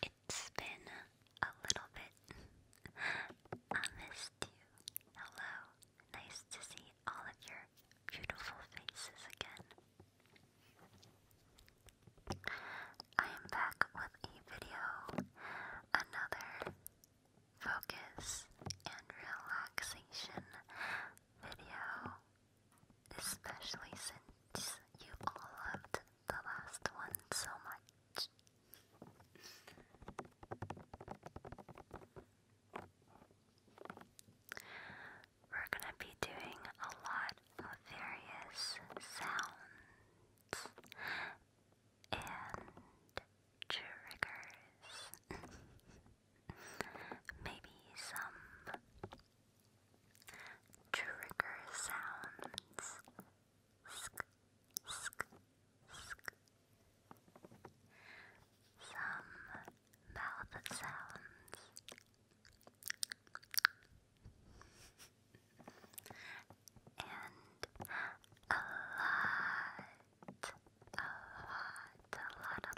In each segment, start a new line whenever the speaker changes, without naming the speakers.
It's been a little bit. I missed you. Hello. Nice to see all of your beautiful faces again. I am back with a video, another focus and relaxation video, especially since you all loved the last one so much. We're gonna be doing a lot of various sounds and triggers. maybe some trigger sounds. Sk, sk, sk. Some mouth sounds. And a lot lot, a lot, a lot, a lot, a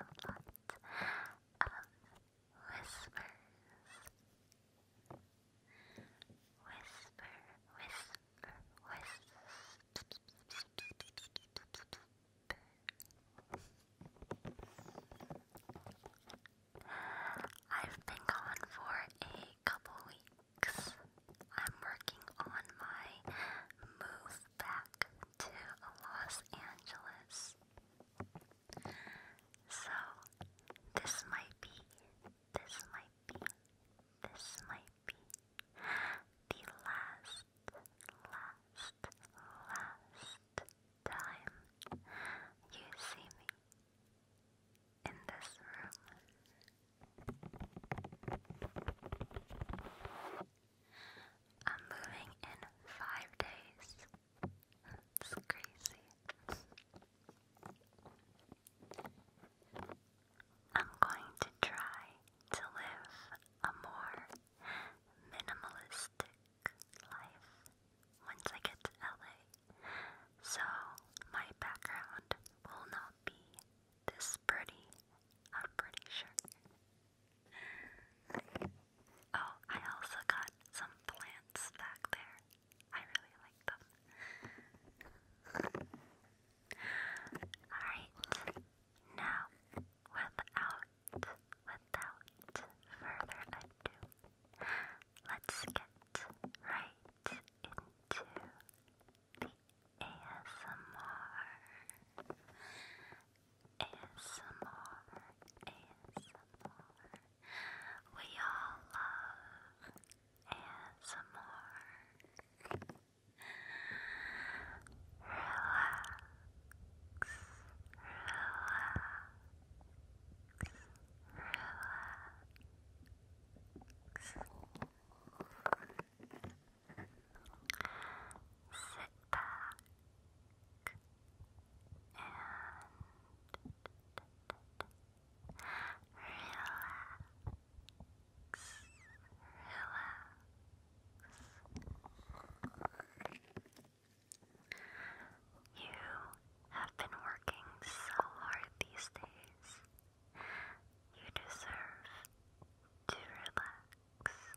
lot, a lot of whispers. Whisper, whisper, whisper. I've been gone for a couple weeks. I'm working on my move back to Los Angeles. So, this might be, this might be, this might be the last, last, last time you see me in this room. I'm moving in five days. It's crazy. I'm going to try to live a more minimalistic life once I get to LA. So my background will not be this pretty, I'm pretty sure. Oh, I also got some plants back there. I really like them. Alright, now without without further ado, let's get right into the ASMR. ASMR. ASMR. We all love ASMR. Relax. Relax. Relax sit back and relax. Relax. You have been working so hard these days. You deserve to relax.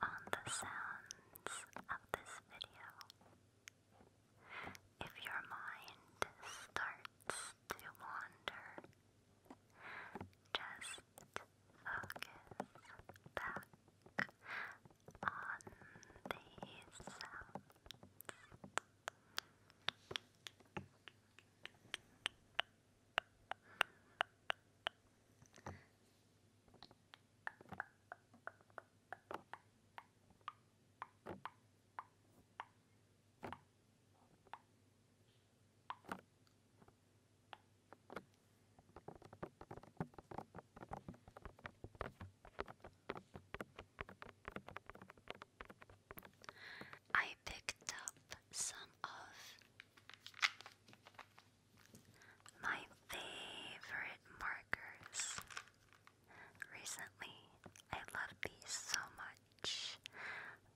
on the sounds of this video. If your mind starts to wander, just focus back on these sounds. I picked up some of my favorite markers. Recently, I love these so much.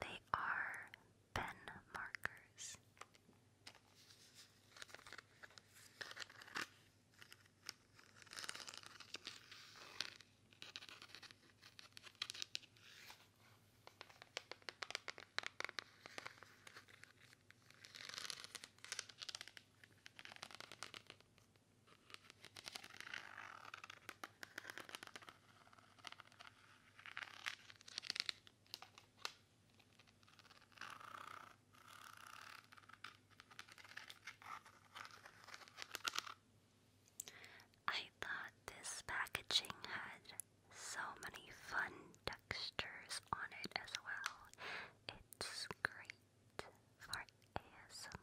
They are pen markers. I thought this packaging had so many fun textures on it as well. It's great for ASMR.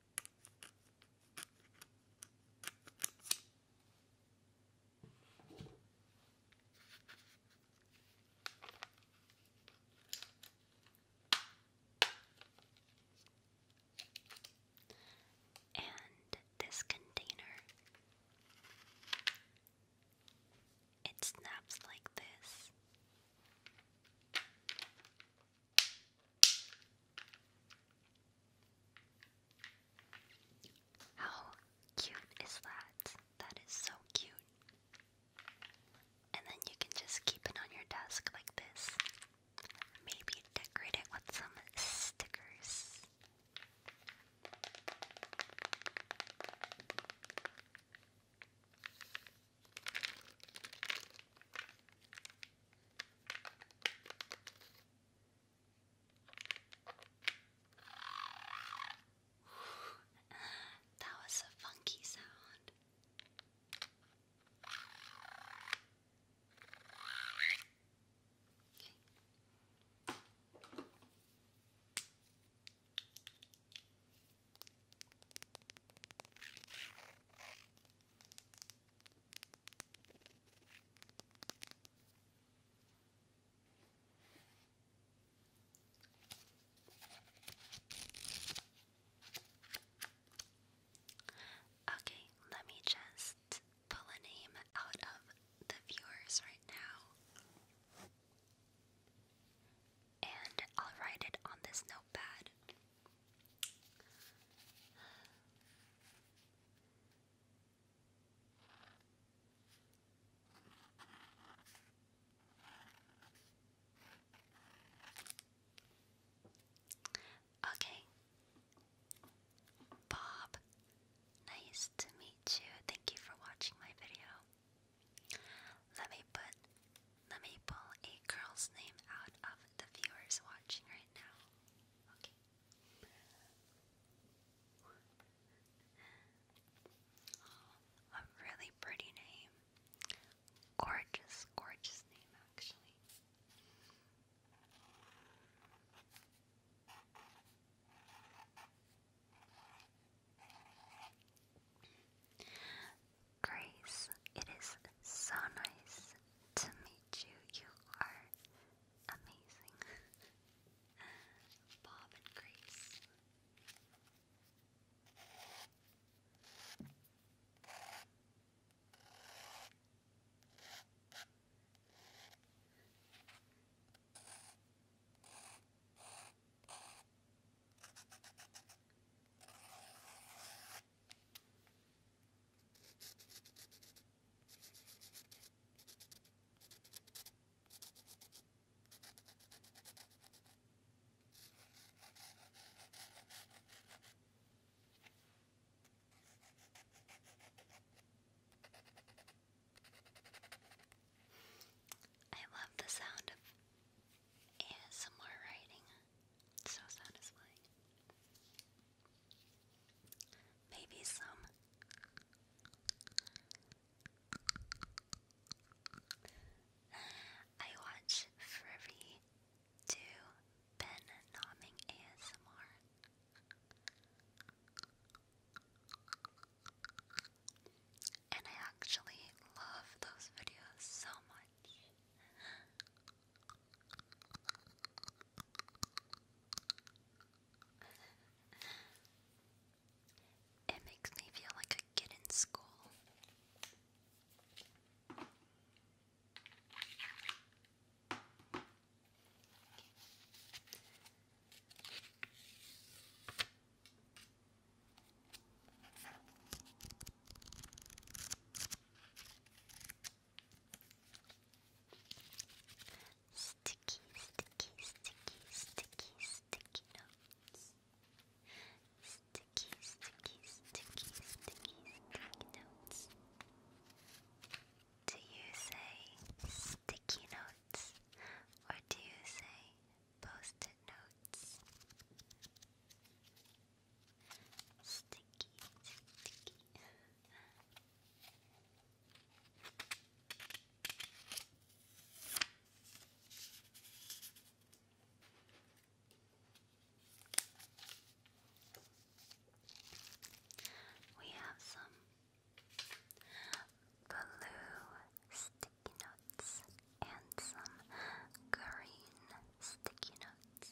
And this container, it snaps like this. How cute is that? That is so cute. And then you can just keep it on your desk like this. Maybe decorate it with some stickers that was a funky sound. Okay. Okay, let me just pull a name out of the viewers right now. And I'll write it on this notepad. Okay. Bob, nice to meet you. Thank you for watching my video. Let me put let me pull a girl's name out of the viewers watching right now. Okay. Oh, a really pretty name. Gorgeous, gorgeous name, actually. Grace, it is so nice to meet you. You are amazing. Bob and Grace. I love the sound of ASMR writing. so satisfying. Maybe some I watch Furry do pen nomming ASMR. And I actually love those videos so much. It makes me feel like a kid in school. Sticky, sticky, sticky, sticky, sticky notes. Sticky, sticky, sticky, sticky, sticky notes. Do you say sticky notes or do you say post it notes? Sticky, sticky. We have some blue sticky notes and some green sticky notes.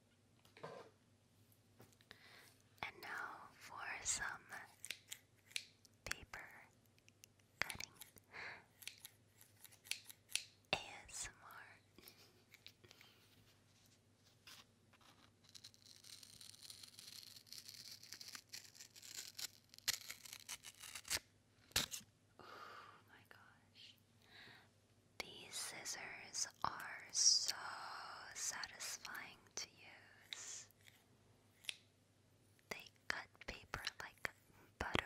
And now for some paper cutting ASMR. oh my gosh. These scissors are so satisfying to use. They cut paper like butter.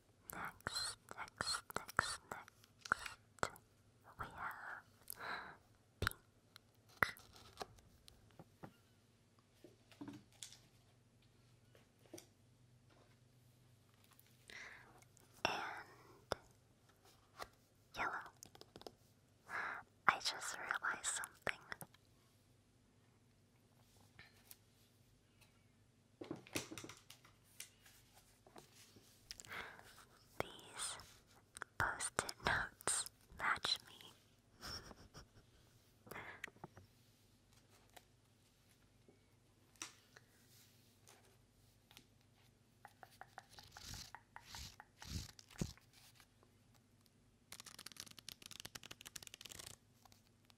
next, next, next, next, we have pink. And yellow. I just realized something. These post it notes match me.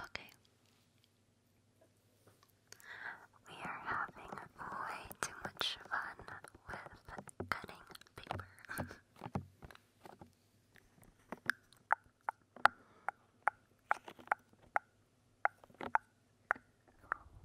Okay. We are having way too much fun with cutting paper.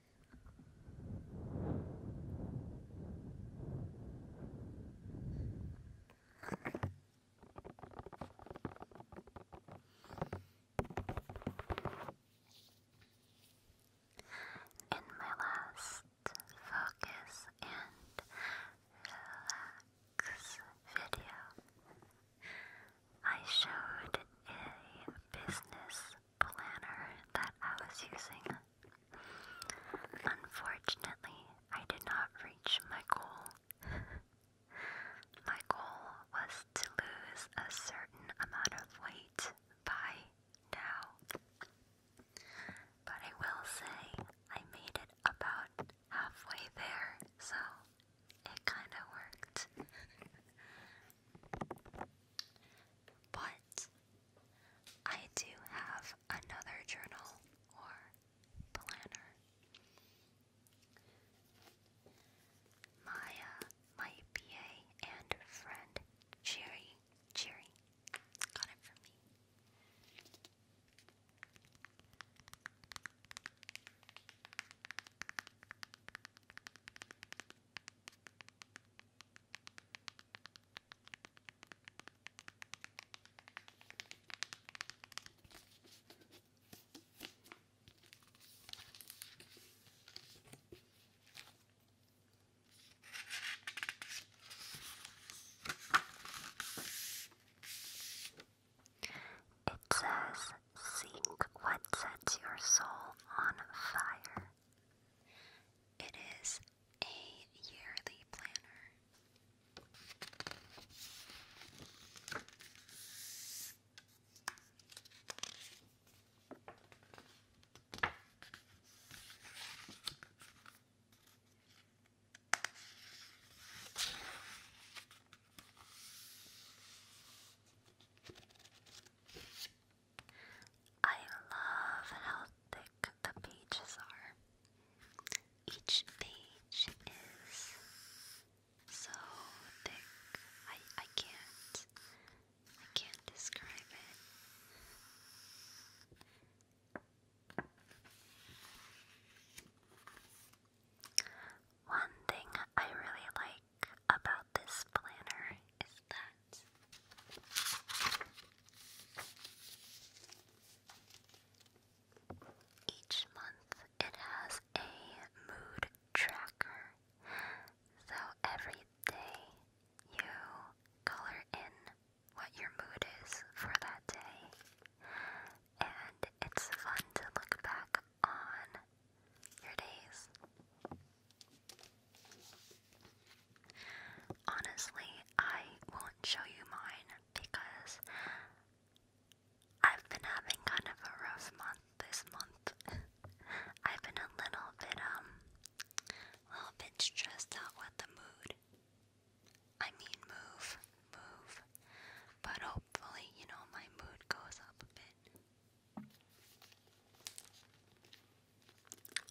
In my last focus and relax video, I showed a business planner that I was using. Unfortunately, I did not reach my goal. my goal was to lose a certain amount of weight by now. But I will say, I made it about halfway there, so it kind of worked. but but I do have another journal or planner. Maya, my PA and friend, Cherry, Cherry, got it for me. It says, Seek what sets your soul on fire. It is a yearly planner. I love how thick the pages are. Each page is so thick. I I can't I can't describe it. One thing I really like about this planner is that each month it has a mood tracker. So every day you color in what your mood is for that day. And it's fun to look back on your days. Honestly, I won't show you mine because I've been having kind of a rough month this month. I've been a little bit, um, a little bit stressed out with the mood. I mean, move, move. But hopefully, you know, my mood goes up a bit.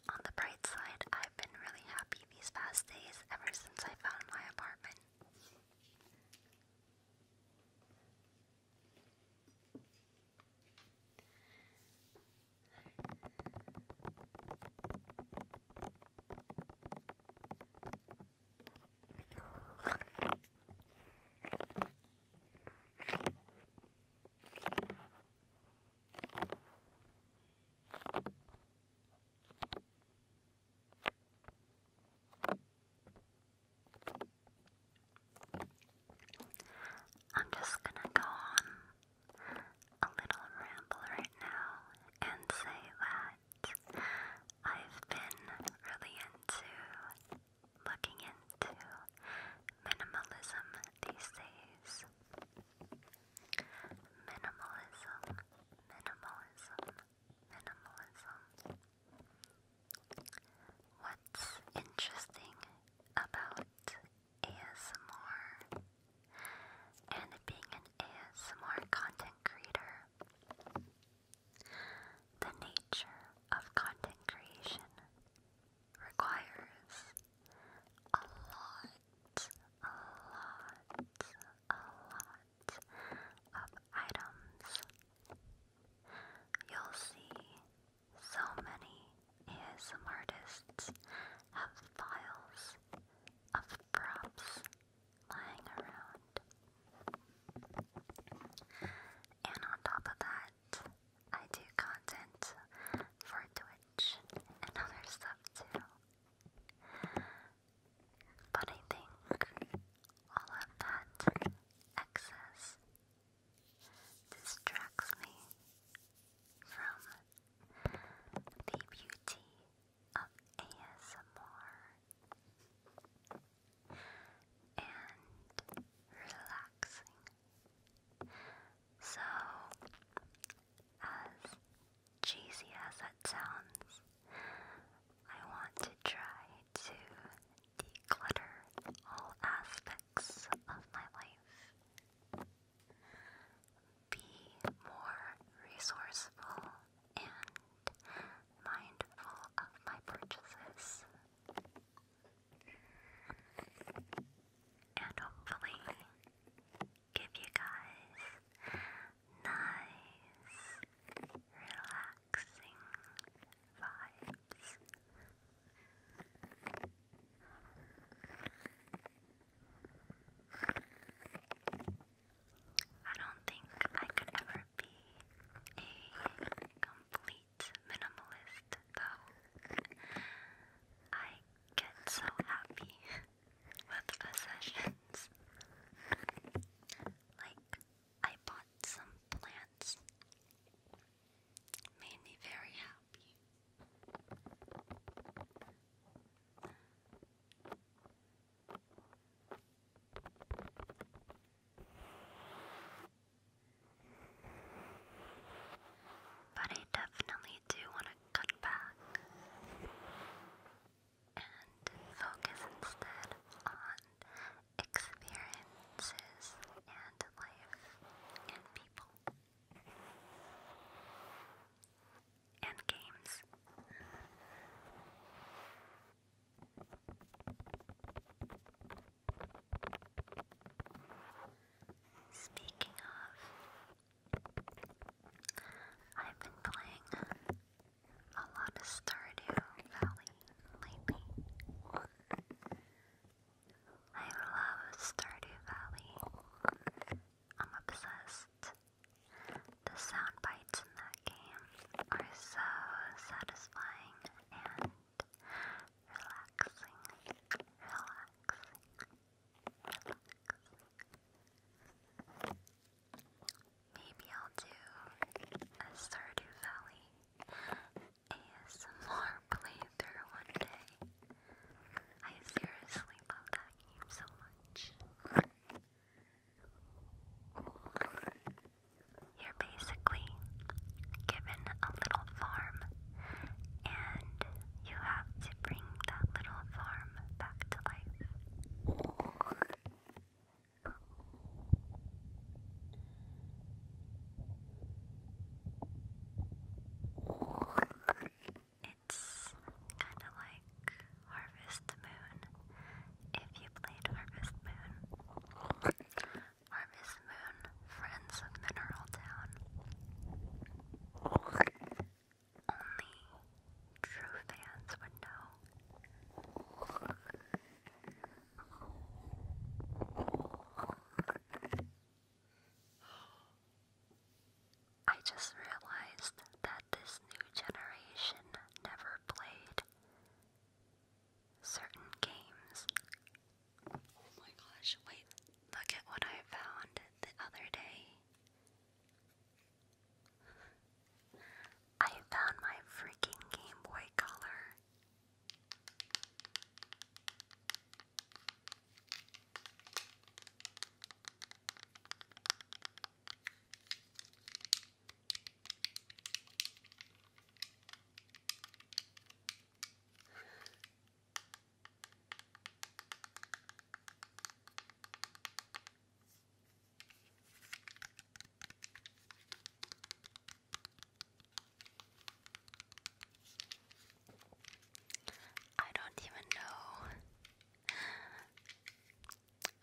On the bright side, I've been really happy these past days ever since I found my apartment. I'm just gonna go on a little ramble right now and say that I've been really into looking into minimalism these days Minimalism, minimalism, minimalism. What's interesting about ASMR and being an ASMR content creator? The nature of content creation requires a lot, a lot, a lot of items. You'll see so many ASM artists have files of props lying around. And on top of that, I do content for Twitch and other stuff too. But I think all of that excess distracts me from the beauty of ASMR and relaxing. So, as cheesy as that sounds, I want to try to declutter all aspects of my life, be more resourceful and mindful of my purchases. And hopefully, give you guys nice, relaxing vibes. I don't think I could ever be a complete minimalist, though. I get so happy with a like, I bought some plants. Made me very happy. But I definitely I do want to cut back and focus instead on experiences and life and people and games. Speaking of, I've been playing a lot of Stardew Valley lately. I love Stardew Valley. I'm obsessed. The sound bites in that game are so satisfying and relaxing. Relaxing. Maybe I'll do a Stardew Valley ASMR playthrough one day. I seriously love that game so much. You're basically given a little farm, and you have to bring that little farm worm back to life. It's kind of like Harvest Moon. If you played Harvest Moon, Harvest Moon, Friends of Mineral Town only true fans would know. I just realized that this new generation never played certain games. Oh my gosh, wait, look at what I found the other day. I found my freaking Game Boy Color. I don't even know.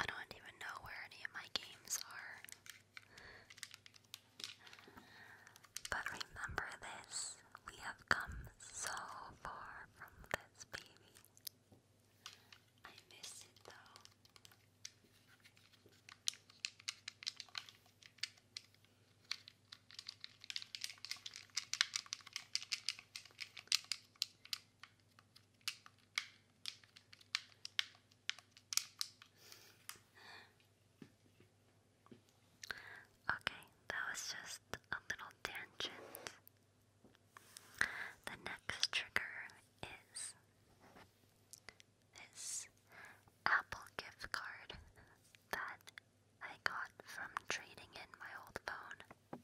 I don't even know where any of my games are. But remember this we have come so far from this baby. I miss it though. Okay, that was just a little tangent the next trigger is this Apple gift card that I got from trading in my old phone.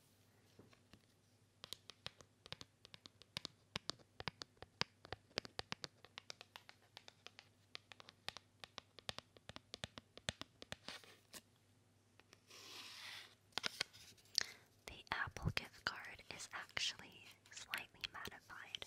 The Apple gift card is actually slightly modified.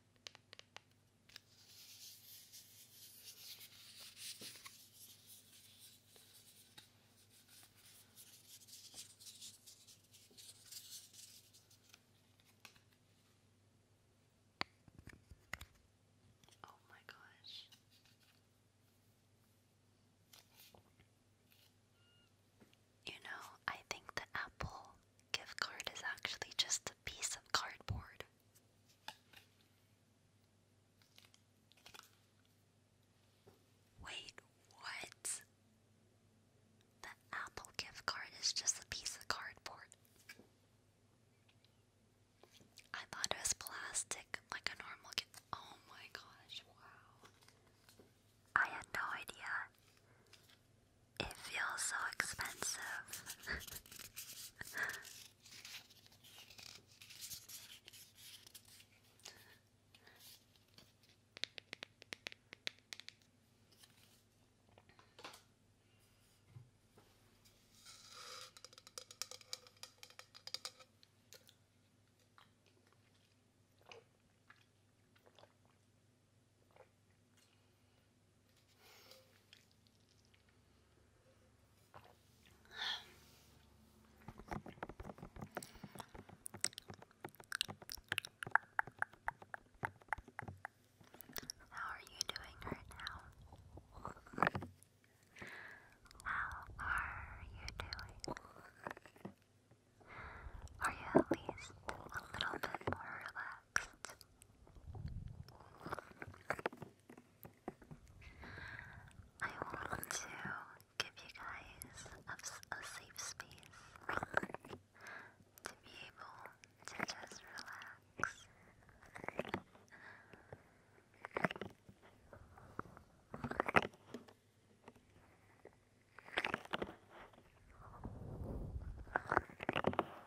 Oh, my gosh. You know, I think the apple gift card is actually just a piece of cardboard. Wait, what? The Apple gift card is just a piece of cardboard. I thought it was plastic, like a normal gift. Oh my gosh, wow. I had no idea it feels so expensive. How are you doing right now? How are you doing? Are you at least a little bit more relaxed? accent. I want to give you guys a, safe space to be able to just relax.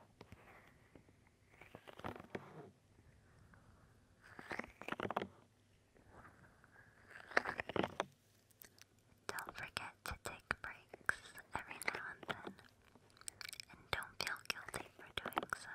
Don't forget to take breaks every now and then, and don't feel guilty for doing so.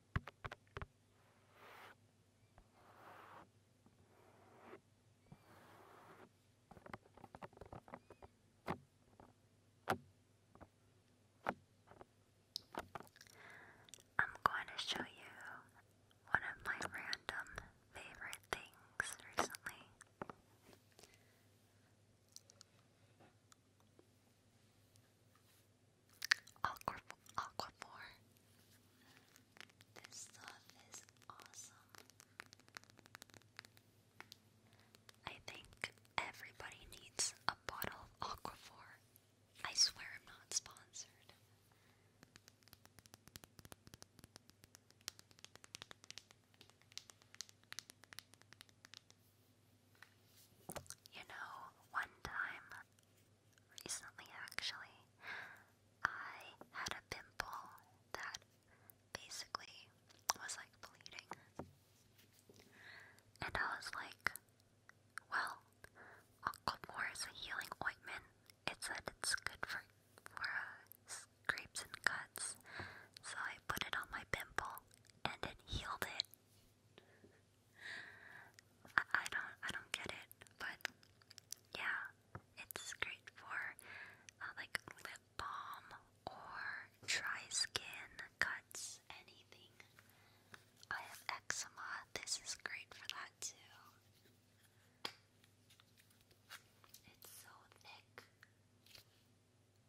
I'm going to show you one of my random favorite things recently. Aqua Aquaphor. This stuff is awesome. I think everybody needs a bottle of Aquaphor. I swear I'm not sponsored. You know, one time, recently actually, I had a pimple that basically was like bleeding. And I was like, well, Aquamore is a healing ointment. It said it's good for, for uh, scrapes and cuts. So I put it on my pimple and it healed it. I, don't I don't get it, but yeah, it's great for uh, like lip balm or dry skin cuts, anything. I have eczema. This is great for that too. It's so thick.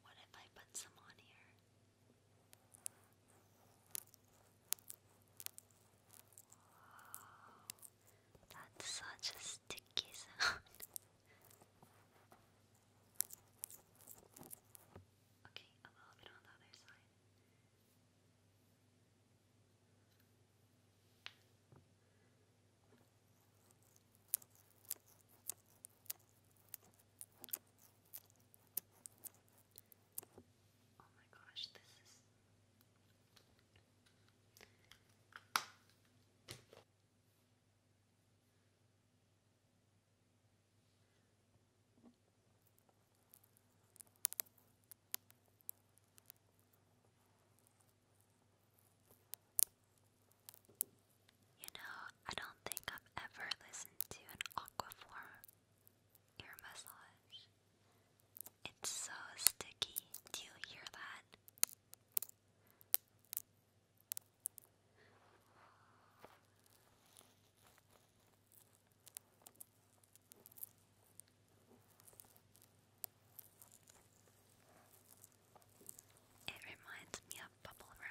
What if I put some on here? that's such a sticky sound. okay, a little bit on the other side. Oh my gosh, this is you know, I don't think I've ever listened to an Aquaform ear massage. It's so sticky. Do you hear that? It reminds me of bubble wrap.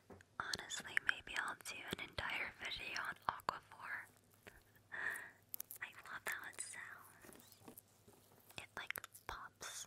Honestly, maybe I'll do an entire video on Aquaphor. I love how it sounds. It like pops.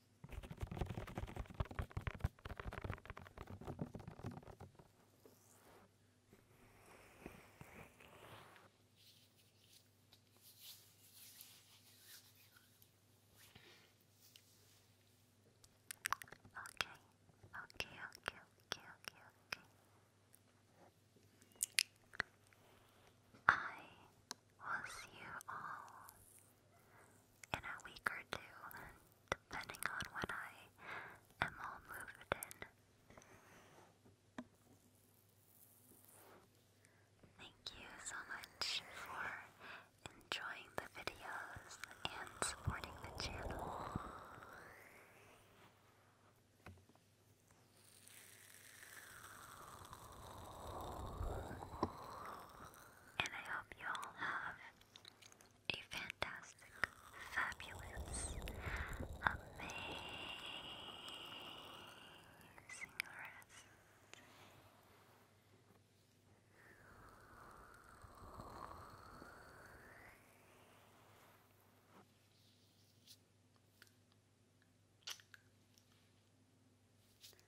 okay, okay, okay, okay, okay. I will see you all in a week or two, depending on when I am all moved in. Thank you so much for enjoying the videos and supporting the channel and I hope you all have a fantastic, fabulous, amazing rest.